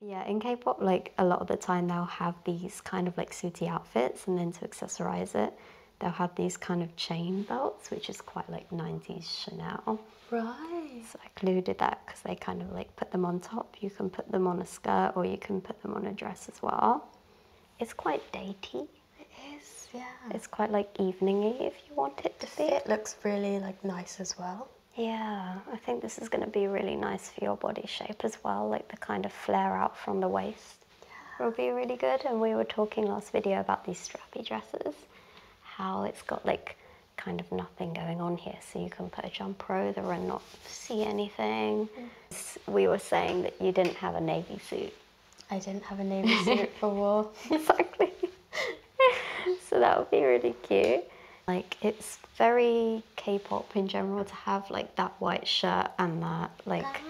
Yeah, in K-pop, like a lot of the time they'll have these kind of like suity outfits and then to accessorize it, they'll have these kind of chain belts, which is quite like 90s Chanel. Right. So I included that because they kind of like put them on top. You can put them on a skirt or you can put them on a dress as well. It's quite dainty. It is, yeah. It's quite like eveningy if you want it to be. It looks really like nice as well. Yeah, I think this is going to be really nice for your body shape as well, like the kind of flare out from the waist will be really good. And we were talking last video about these strappy dresses, how it's got like kind of nothing going on here. So you can put a jumper over and not see anything. Mm-hmm. We were saying that you didn't have a navy suit. I didn't have a navy suit for war. exactly. so that would be really cute. Like it's very K-pop in general to have like that white shirt and that like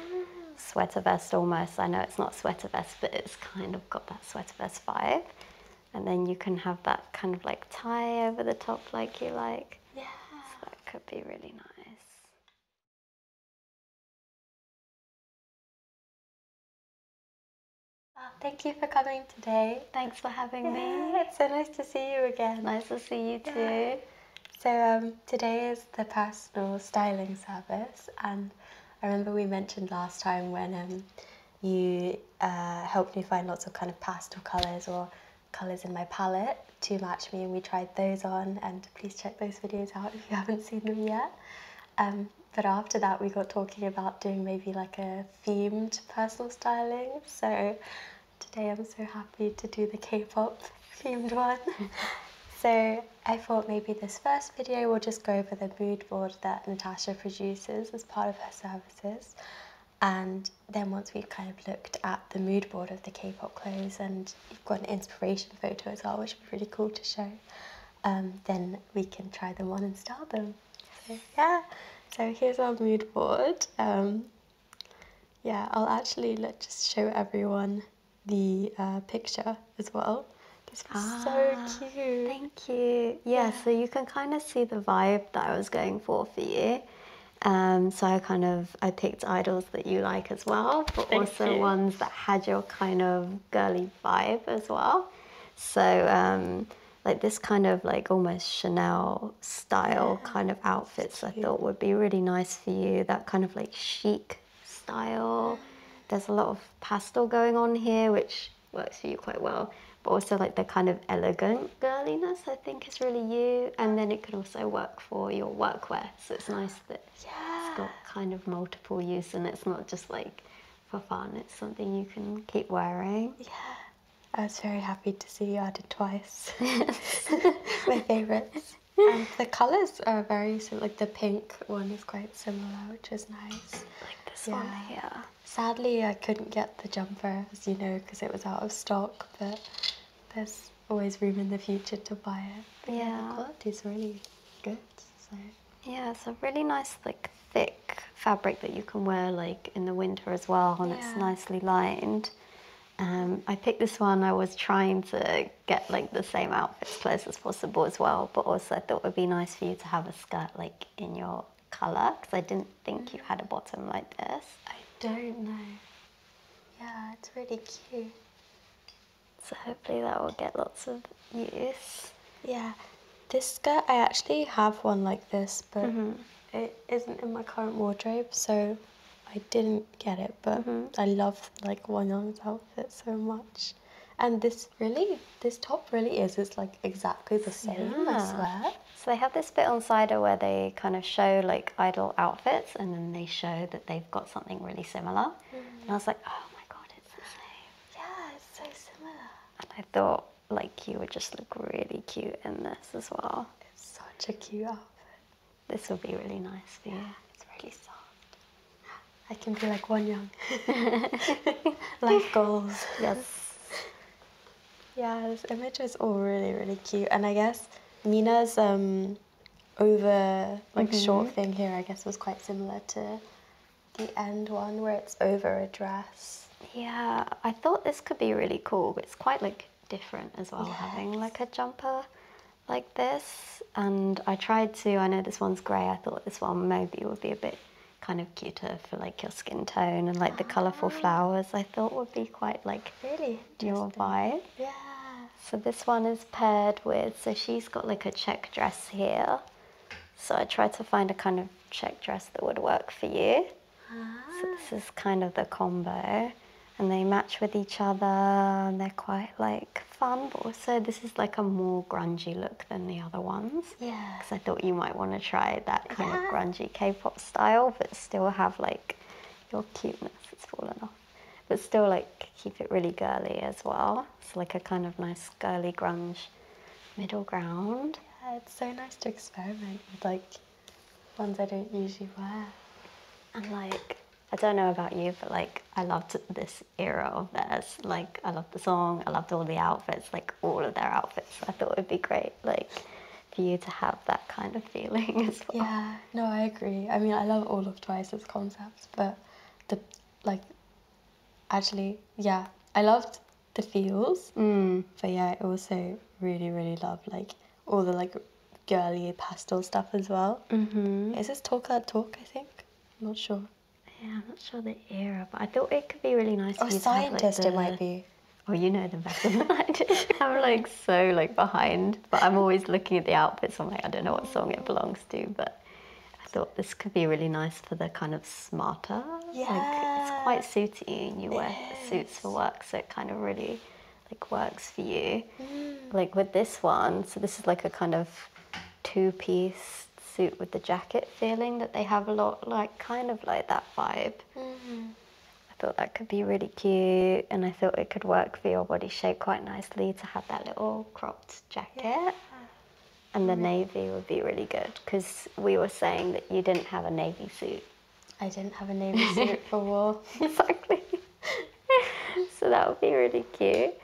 sweater vest almost. I know it's not sweater vest, but it's kind of got that sweater vest vibe. And then you can have that kind of like tie over the top like you like. Yeah. that could be really nice. Thank you for coming today. Thanks for having me. It's so nice to see you again. Nice to see you too. So um, today is the personal styling service, and I remember we mentioned last time when um, you uh, helped me find lots of kind of pastel colours or colours in my palette to match me, and we tried those on. And please check those videos out if you haven't seen them yet. Um, but after that, we got talking about doing maybe like a themed personal styling. So Today I'm so happy to do the K-pop themed one. so I thought maybe this first video will just go over the mood board that Natasha produces as part of her services. And then once we've kind of looked at the mood board of the K-pop clothes and you've got an inspiration photo as well, which would be really cool to show, um, then we can try the one and style them. So yeah, so here's our mood board. Um, yeah, I'll actually let just show everyone the uh, picture as well. This is so ah, cute. Thank you. Yeah, so you can kind of see the vibe that I was going for for you. Um, so I kind of I picked idols that you like as well, but also ones that had your kind of girly vibe as well. So um, like this kind of like almost Chanel style kind of outfits I thought would be really nice for you. That kind of like chic style. There's a lot of pastel going on here, which works for you quite well. But also like the kind of elegant girliness I think is really you. And then it can also work for your workwear. So it's nice that it's got kind of multiple use and it's not just like for fun. It's something you can keep wearing. Yeah. I was very happy to see you added twice. My favourites. And the colours are very similar. Like the pink one is quite similar, which is nice. Like this yeah. one here. Sadly, I couldn't get the jumper, as you know, because it was out of stock. But there's always room in the future to buy it. But yeah. the quality is really good. So. Yeah, it's a really nice, like thick fabric that you can wear like in the winter well and it's nicely lined. Um, I picked this one, I was trying to get like the same outfits close as possible as well, but also I thought it would be nice for you to have a skirt like in your colour, because I didn't think you had a mm. bottom like this. I don't know. Yeah, it's really cute. So hopefully that will get lots of use. Yeah, this skirt, I actually have one like this, but mm-hmm it isn't in my current wardrobe, so I didn't get it. But mm-hmm. I love like Wanyang's outfit so much, and this really, this top really is. It's like exactly the same. I swear. So they have this bit on Sider where they kind of show like idol outfits, and then they show that they've got something really similar. And I mm. was like, oh my god, it's the same. Yeah, it's so similar. And I thought like you would just look really cute in this as well. It's such a cute outfit. This will be really nice for you. Yeah, it's really soft. I can be like one young. Life goals. Yes. Yeah, this image is all really, really cute. And I guess Mina's um, over, like mm-hmm. short thing here, I guess was quite similar to the end one where it's over a dress. Yeah, I thought this could be really cool. It's quite like different as well having like a jumper like this and I tried to I know this one's grey I thought this one maybe would be a bit kind of cuter for like your skin tone and like the colourful ah. flowers I thought would be quite like really your vibe yeah so this one is paired with so she's got like a check dress here so I tried to find a kind of check dress that would work for you so this is kind of the combo. And they match with each other and they're quite like fun, but also this is like a more grungy look than the other ones. Yeah. Because I thought you might want to try that kind of grungy K-pop style, but still have like your cuteness. It's fallen off. But still like keep it really girly as well. It's like a kind of nice girly grunge middle ground. Yeah, it's so nice to experiment with like ones I don't usually wear. And like, I don't know about you, but like, I loved this era of theirs. Like, I loved the song, I loved all the outfits, like all of their outfits. I thought it would be great, like, for you to have that kind of feeling as well. Yeah, no, I agree. I mean, I love all of Twice's concepts, but the, like, actually, yeah, I loved the feels, mm. but yeah, I also really, really love like all the like girly pastel stuff as well. Mm-hmm. Is this Talk That Talk? I think. I'm not sure. Yeah, I'm not sure the era, but I thought it could be really nice. Oh, or scientist, have, like, the... it might be. Oh, you know them better than I do. I'm like so like behind, but I'm always looking at the outfits. I'm like, I don't know what song it belongs to, but I thought this could be really nice for the kind of smarter. Yeah. Like, it's quite suiting. You wear suits for work so it kind of really like works for you mm. like with this one so this is like a kind of two-piece suit with the jacket feeling that they have a lot like kind of like that vibe mm-hmm. i thought that could be really cute and i thought it could work for your body shape quite nicely to have that little cropped jacket and the mm-hmm. navy would be really good because we were saying that you didn't have a navy suit I didn't have a navy suit for war. exactly. so that would be really cute.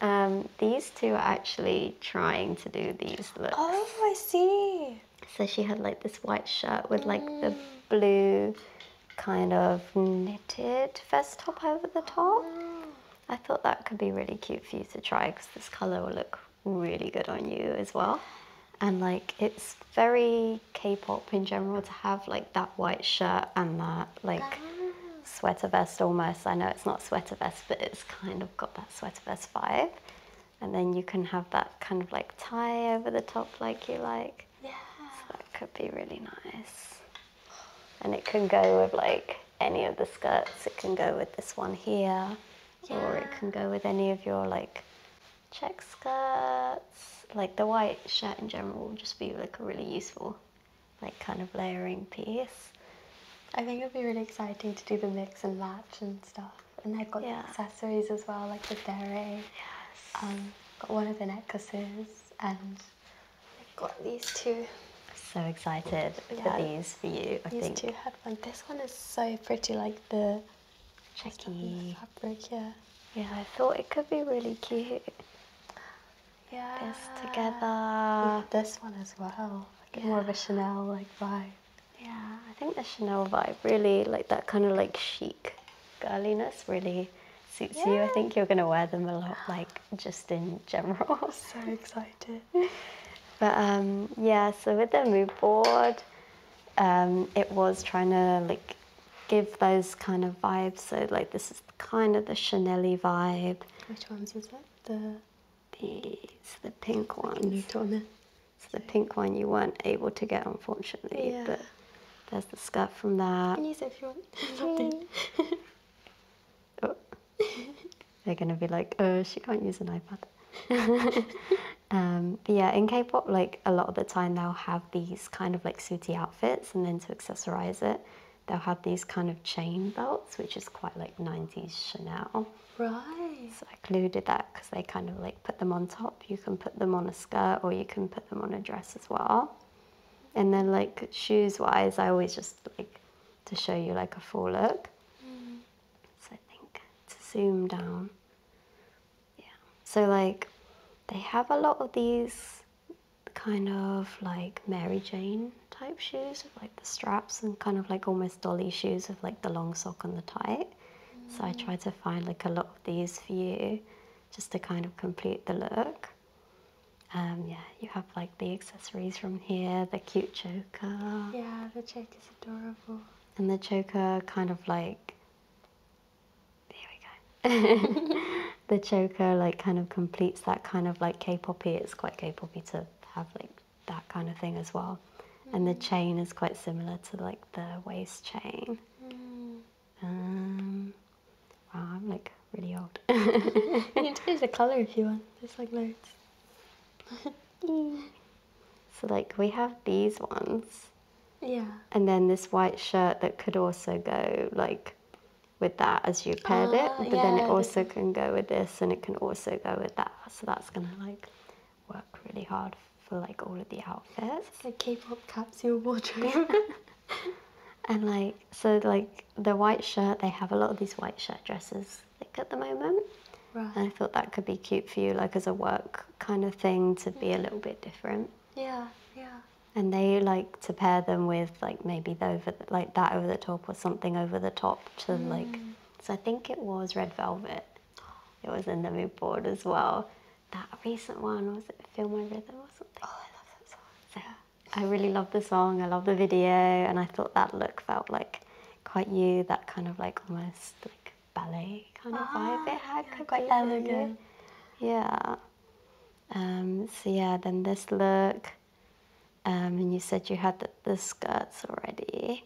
Um, these two are actually trying to do these looks. Oh, I see. So she had like this white shirt with like the mm. blue kind of knitted vest top over the top. Mm. I thought that could be really cute for you to try because this colour will look really good on you as well and like it's very K-pop in general to have like that white shirt and that like sweater vest almost. I know it's not sweater vest, but it's kind of got that sweater vest vibe. And then you can have that kind of like tie over the top like you like. Yeah. So that could be really nice. And it can go with like any of the skirts. It can go with this one here. Or it can go with any of your like check skirts, like the white shirt in general will just be like a really useful like kind of layering piece. I think it'll be really exciting to do the mix and match and stuff. And i have got accessories as well, like the derry. Yes. Um, got one of the necklaces and I've got these two. So excited yeah. for these for you. I these think. two had one. This one is so pretty, like the checky fabric, yeah. Yeah, I thought it could be really cute. Yeah. This together. this one as well. More of a Chanel like vibe. Yeah, I think the Chanel vibe really like that kind of like chic girliness really suits you. I think you're gonna wear them a lot, like just in general. so excited. but um, yeah, so with the mood board, um, it was trying to like give those kind of vibes. So like this is kind of the Chanel vibe. Which ones is that? The these the pink ones. It's the pink one you weren't able to get unfortunately. Yeah. But there's the skirt from that. Can use if you want. They're gonna be like, oh, she can't use an iPad. Um, but yeah, in K-pop, like a lot of the time they'll have these kind of like suitie outfits and then to accessorize it, they'll have these kind of chain belts, which is quite like 90s Chanel. Right. So I included that because they kind of like put them on top. You can put them on a skirt or you can put them on a dress as well. And then like shoes wise, I always just like to show you like a full look. Mm. So I think to zoom down. Yeah. So like they have a lot of these kind of like Mary Jane type shoes with like the straps and kind of like almost dolly shoes with like the long sock and the tie. So I tried to find like a lot of these for you just to kind of complete the look. Um, yeah, you have like the accessories from here, the cute choker. Yeah, the choker is adorable. And the choker kind of like there we go. the choker like kind of completes that kind of like K-poppy. It's quite K-poppy to have like that kind of thing as well. And the mm. chain is quite similar to like the waist chain. Mm. Um, I'm like really old. you can change the colour if you want. There's like loads. so like we have these ones. Yeah. And then this white shirt that could also go like with that as you paired it, ah, but then it also can go with this and it can also go with that. So that's gonna like work really hard for like all of the outfits. It's like K-pop capsule wardrobe. and like so like the white shirt, they have a lot of these white shirt dresses like at the moment. Right. I thought that could be cute for you, like as a work kind of thing to be a little bit different. Yeah, yeah. And they like to pair them with like maybe over like that over the top or something over the top to mm. like. So I think it was Red Velvet. It was in the mood board as well. That recent one was it Feel My Rhythm or something. Oh, I love that song. yeah. I really love the song. I love the video, and I thought that look felt like quite you. That kind of like almost like ballet kind of vibe ah, it had, yeah, quite elegant. Yeah. Um, so yeah, then this look, um, and you said you had the, skirts already.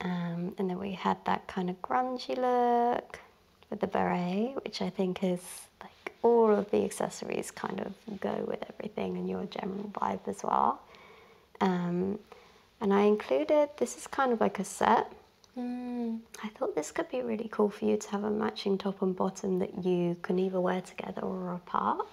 Um, and then we had that kind of grungy look with the beret, which I think is like all of the accessories kind of go with everything and your general vibe as well. and I included, this is kind of like a set. Mm, I thought this could be really cool for you to have a matching top and bottom that you can either wear together or apart.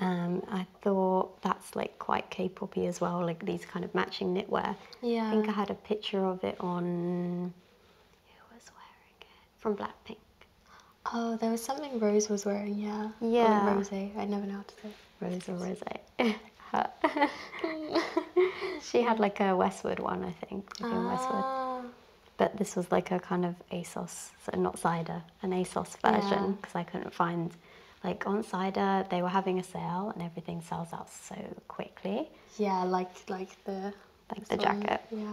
Um, I thought that's like quite K-poppy as well, like these kind of matching knitwear. Yeah. I think I had a picture of it on. Who was wearing it? From Blackpink. Oh, there was something Rose was wearing, yeah. Yeah. Rose, I never noticed it. Rose or Rose. she had like a Westwood one, I think, in Westwood. Ah. But this was like a kind of ASOS, so not cider, an ASOS version because I couldn't find like on cider they were having a sale and everything sells out so quickly. Yeah, like like the like the jacket. Yeah.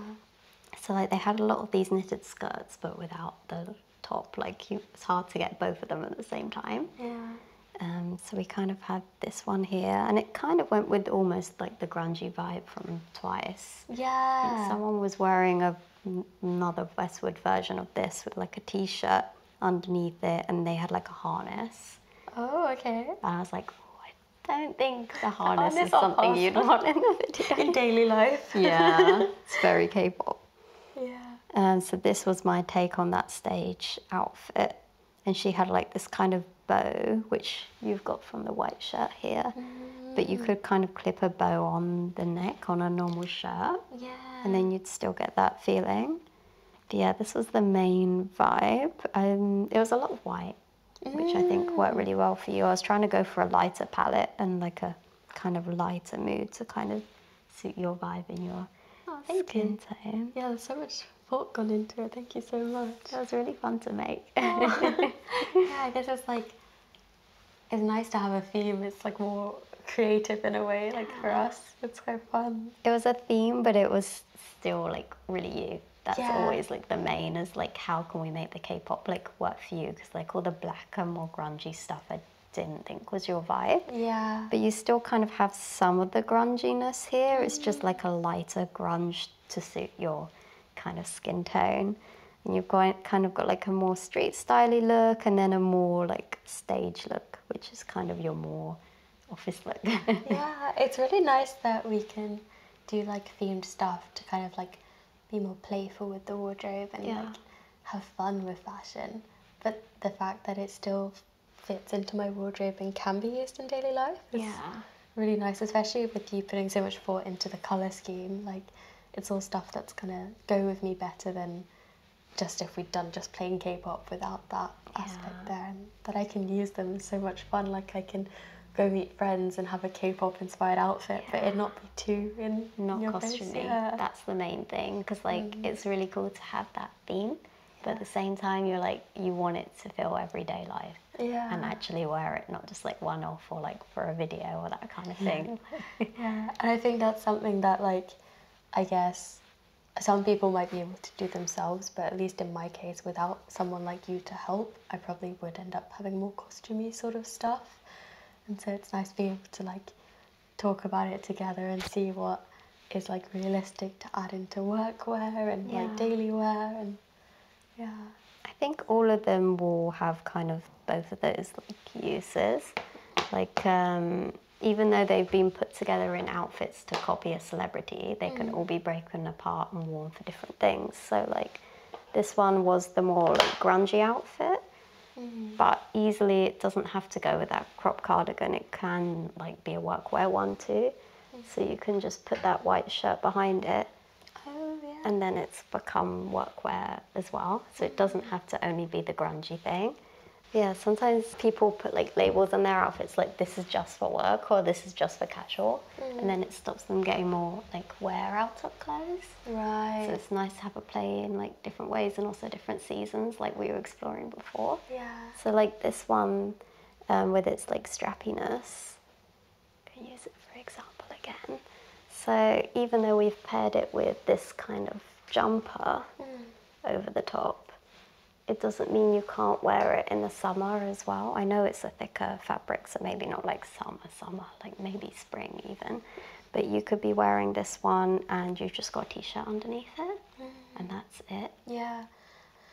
So like they had a lot of these knitted skirts but without the top. Like it's hard to get both of them at the same time. Yeah. Um, so we kind of had this one here, and it kind of went with almost like the grungy vibe from Twice. Yeah. someone was wearing a, another Westwood version of this with like a t-shirt underneath it, and they had like a harness. Oh, okay. And I was like, oh, I don't think the harness, is something you'd want in daily life. yeah, it's very K-pop. Yeah. Um, so this was my take on that stage outfit and she had like this kind of bow, which you've got from the white shirt here, but you mm. could kind of clip a bow on the neck on a normal shirt. Yeah. And then you'd still get that feeling. yeah, this was the main vibe. Um, it was a lot of white, which I think worked really mm. well for you. I was trying to go for a lighter palette and like a kind of lighter mood to kind of suit your vibe and your oh, skin tone. Yeah, there's so much thought gone into it. Thank you so much. That was really fun to make. yeah, I was like it's nice to have a theme. It's like more creative in a way, like for us. It's quite fun. It was a theme, but it was still like really you. That's always like the main is like how can we make the K-pop like work for you? Because like all the blacker, more grungy stuff I didn't think was your vibe. Yeah. But you still kind of have some of the grunginess here. It's just like a lighter grunge to suit your kind of skin tone. And you've got, kind of got like a more street styly look and then a more like stage look, which is kind of your more office look. yeah, it's really nice that we can do like themed stuff to kind of like be more playful with the wardrobe and like have fun with fashion. But the fact that it's still fits into my wardrobe and can be used in daily life. It's yeah. really nice, especially with you putting so much thought into the colour scheme. Like, it's all stuff that's gonna go with me better than just if we'd done just plain K-pop without that aspect there, But I can use them so much fun. Like I can go meet friends and have a K-pop inspired outfit, but it not be too in not costuming. Yeah. That's the main thing because like mm. it's really cool to have that theme but at the same time you're like you want it to feel everyday life yeah. and actually wear it not just like one off or like for a video or that kind of thing yeah and i think that's something that like i guess some people might be able to do themselves but at least in my case without someone like you to help i probably would end up having more costumey sort of stuff and so it's nice being able to like talk about it together and see what is like realistic to add into workwear and like daily wear and yeah. I think all of them will have kind of both of those like uses. Like um, even though they've been put together in outfits to copy a celebrity, they can mm. all be broken apart and worn for different things. So like this one was the more like, grungy outfit. Mm. But easily, it doesn't have to go with that crop cardigan. It can like be a workwear one too. So you can just put that white shirt behind it. Oh, and then it's become workwear as well. So it doesn't have to only be the grungy thing. Yeah, sometimes people put like labels on their outfits like this is just for work or this is just for casual. And then it stops them getting more like wear out of clothes. Right. So it's nice to have a play in like different ways and also different seasons like we were exploring before. Yeah. So like this one um, with its like strappiness. Can use it for example again. So even though we've paired it with this kind of jumper mm. over the top, it doesn't mean you can't wear it in the summer as well. I know it's a thicker fabric, so maybe not like summer, summer, like maybe spring even. But you could be wearing this one and you've just got a t-shirt underneath it and mm. that's it. Yeah.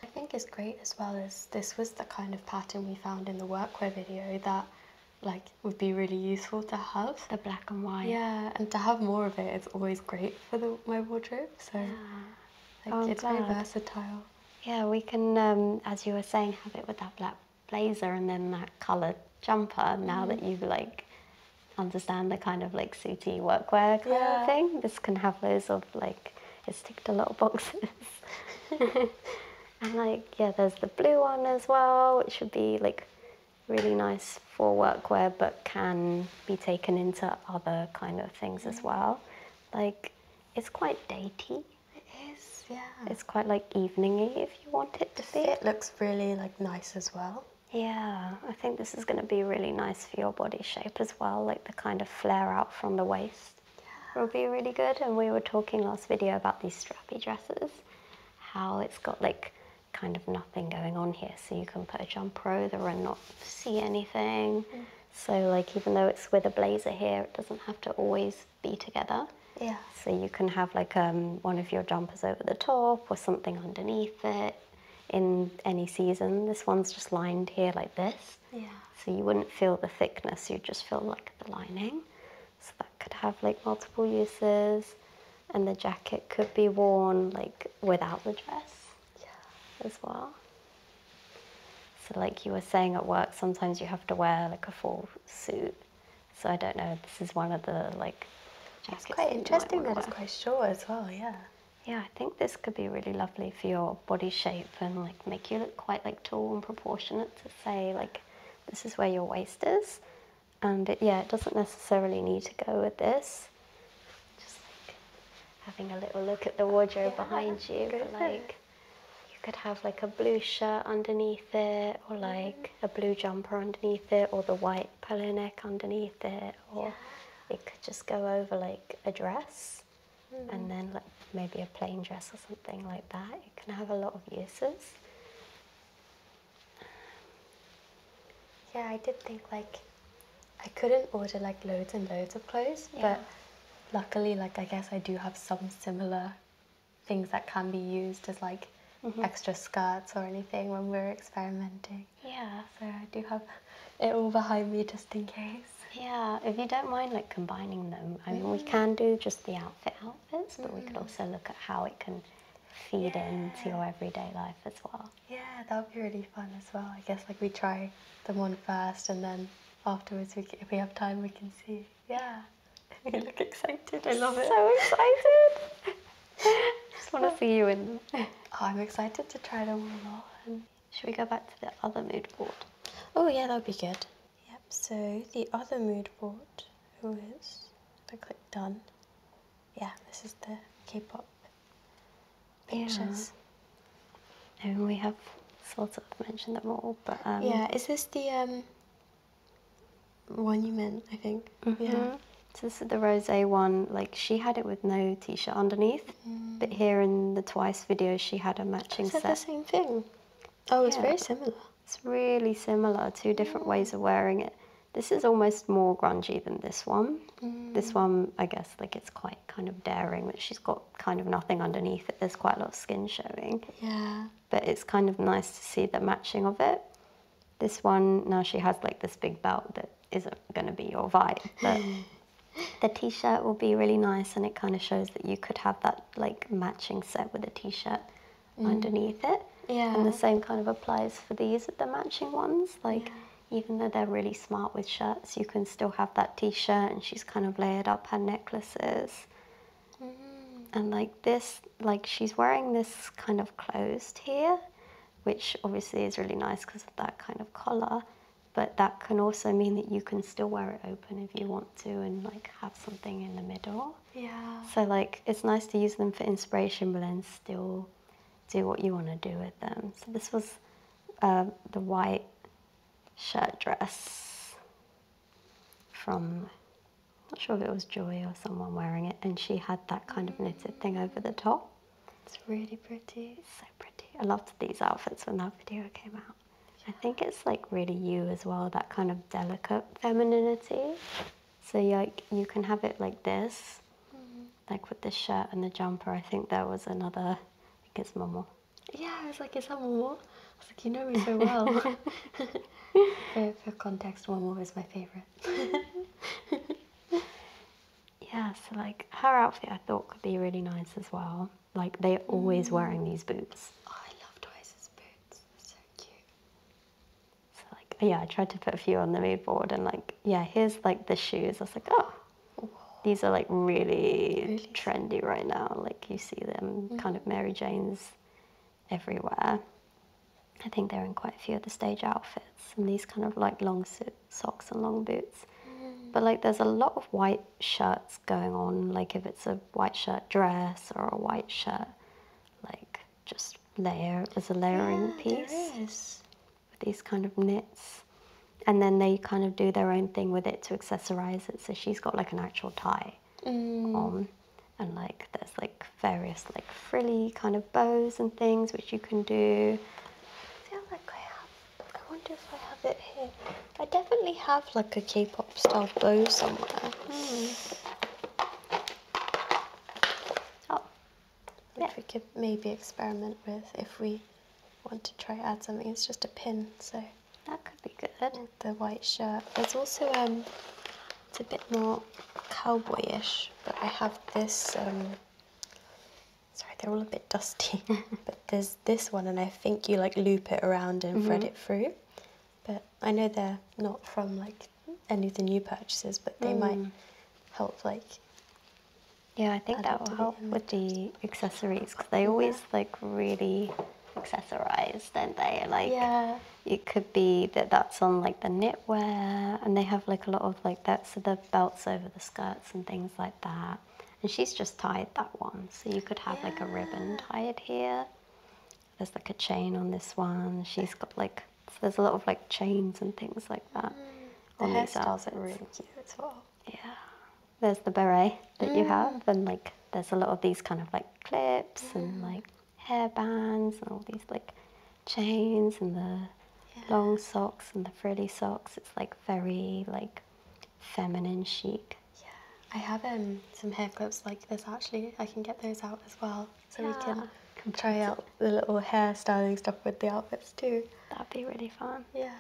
I think it's great as well as this was the kind of pattern we found in the workwear video that like would be really useful to have the black and white yeah and to have more of it it's always great for the, my wardrobe so like oh, it's very versatile yeah we can um, as you were saying have it with that black blazer and then that colored jumper now that mm-hmm. you've like understand the kind of like suity workwear kind of thing this can have loads of like it's ticked a lot of boxes. and like, yeah, there's the blue one as well, which would be like really nice for workwear, but can be taken into other kind of things as well. Like, it's quite dainty. It is, yeah. It's quite like eveningy if you want it to the be. It looks really like nice as well. Yeah, I think this is going to be really nice for your body shape as well, like the kind of flare out from the waist will be really good. And we were talking last video about these strappy dresses, how it's got like kind of nothing going on here. So you can put a jumper over and not see anything. Mm. So like even though it's with a blazer here, it doesn't have to always be together. Yeah. So you can have like um, one of your jumpers over the top or something underneath it in any season. This one's just lined here like this. Yeah. So you wouldn't feel the thickness, you'd just feel like the lining. So that could have like multiple uses and the jacket could be worn like without the dress as well. So like you were saying at work, sometimes you have to wear like a full suit. So I don't know, this is one of the like jackets. It's quite interesting that, that it's quite short as well, yeah. Yeah, I think this could be really lovely for your body shape and like make you look quite like tall and proportionate to say like this is where your waist is. And um, yeah, it doesn't necessarily need to go with this. Just like having a little look at the wardrobe behind you, but like you could have like a blue shirt underneath it, or mm-hmm. like a blue jumper underneath it, or the white polo neck underneath it, or it could just go over like a dress. Mm. and then like maybe a plain dress or something like that. It can have a lot of uses. Yeah, I did think like I couldn't order like loads and loads of clothes, but luckily, like I guess I do have some similar things that can be used as like. Mm-hmm. extra skirts or anything when we're experimenting. Yeah. So I do have it all behind me just in case. Yeah, if you don't mind like combining them, I mean, we can do just the outfit outfits, but we could mm-hmm. also look at how it can feed into your everyday life as well. Yeah, that would be really fun as well. I guess like we try them on first and then afterwards, we if we have time, we can see. Yeah. You look excited. I love it. So excited. I just want to see you in them. Oh, I'm excited to try them on. Should we go back to the other mood board? Oh yeah, that would be good. Yep, so the other mood board, who is, if I click done, yeah, this is the K-pop pictures. Yeah. And we have sort of mentioned them all, but um, Yeah, is this the um, monument, I think? Mm-hmm. Yeah. So this is the rosé one, like she had it with no t-shirt underneath. But mm. here in the Twice video, she had a matching Is that set. the same thing? Oh, it's very similar. It's really similar. Two different mm. ways of wearing it. This is almost more grungy than this one. This mm. one, I guess, like it's quite kind of daring that she's got kind of nothing underneath it. There's quite a lot of skin showing. Yeah. But it's kind of nice to see the matching of it. This one, now she has like this big belt that isn't going to be your vibe. But the t-shirt will be really nice and it kind of shows that you could have that like matching set with a t-shirt mm. underneath it yeah and the same kind of applies for these the matching ones like even though they're really smart with shirts you can still have that t-shirt and she's kind of layered up her necklaces mm. and like this like she's wearing this kind of closed here which obviously is really nice because of that kind of collar but that can also mean that you can still wear it open if you want to and like have something in the middle. Yeah. So like it's nice to use them for inspiration but then still do what you want to do with them. So this was uh, the white shirt dress from not sure if it was Joy or someone wearing it and she had that kind of knitted thing over the top. It's really pretty. so pretty a lot of these outfits when that video came out. I think it's like really you as well, that kind of delicate femininity. So you you can have it like this, mm-hmm. like with the shirt and the jumper. I think there was another. I think it's Momo. Yeah, I was like, is Momo? I was like, you know me so well. for, for context, Momo is my favorite. yeah, so like her outfit I thought could be really nice as well. Like they're always wearing these mm. boots. Oh, I love Twice's boots. They're so cute. So like yeah, I tried to put a few on the mood board and like yeah, here's like the shoes. I was like, oh, these are like really, trendy right now. Like you see them mm. kind of Mary Jane's everywhere. I think they're in quite a few of the stage outfits and these kind of like long suits socks and long boots. Mm. But like there's a lot of white shirts going on, like if it's a white shirt dress or a white shirt, like just layer as a layering yeah, piece. With these kind of knits. And then they kind of do their own thing with it to accessorize it. So she's got like an actual tie mm. on. And like there's like various like frilly kind of bows and things which you can do. I wonder if I have it here. I definitely have like a K-pop style bow somewhere. Hmm. Oh, which we could maybe experiment with if we want to try add something. It's just a pin, so that could be good. The white shirt. There's also um, it's a bit more cowboyish, but I have this um Sorry, they're all a bit dusty. but there's this one, and I think you like loop it around and thread mm-hmm. it through. But I know they're not from like any of the new purchases, but they might mm. help like. Yeah, I think that will help with the accessories because they always yeah. like really accessorized, don't they? Like yeah. it could be that that's on like the knitwear, and they have like a lot of like that, so the belts over the skirts and things like that and she's just tied that one so you could have like a ribbon tied here there's like a chain on this one she's got like there's a lot of like chains and things like that mm. on the these outfits really cute as well yeah there's the beret that you have mm. and like there's a lot of these kind of like clips and mm. like hair bands and all these like chains and the long socks and the frilly socks it's like very like feminine chic. Yeah, I have um, some hair clips like this actually. I can get those out as well so yeah. we can try out the little hair styling stuff with the outfits too. That'd be really fun. Yeah.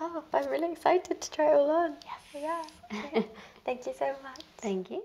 Oh, I'm really excited to try it all on. Yes. Yeah. Okay. Thank you so much. Thank you.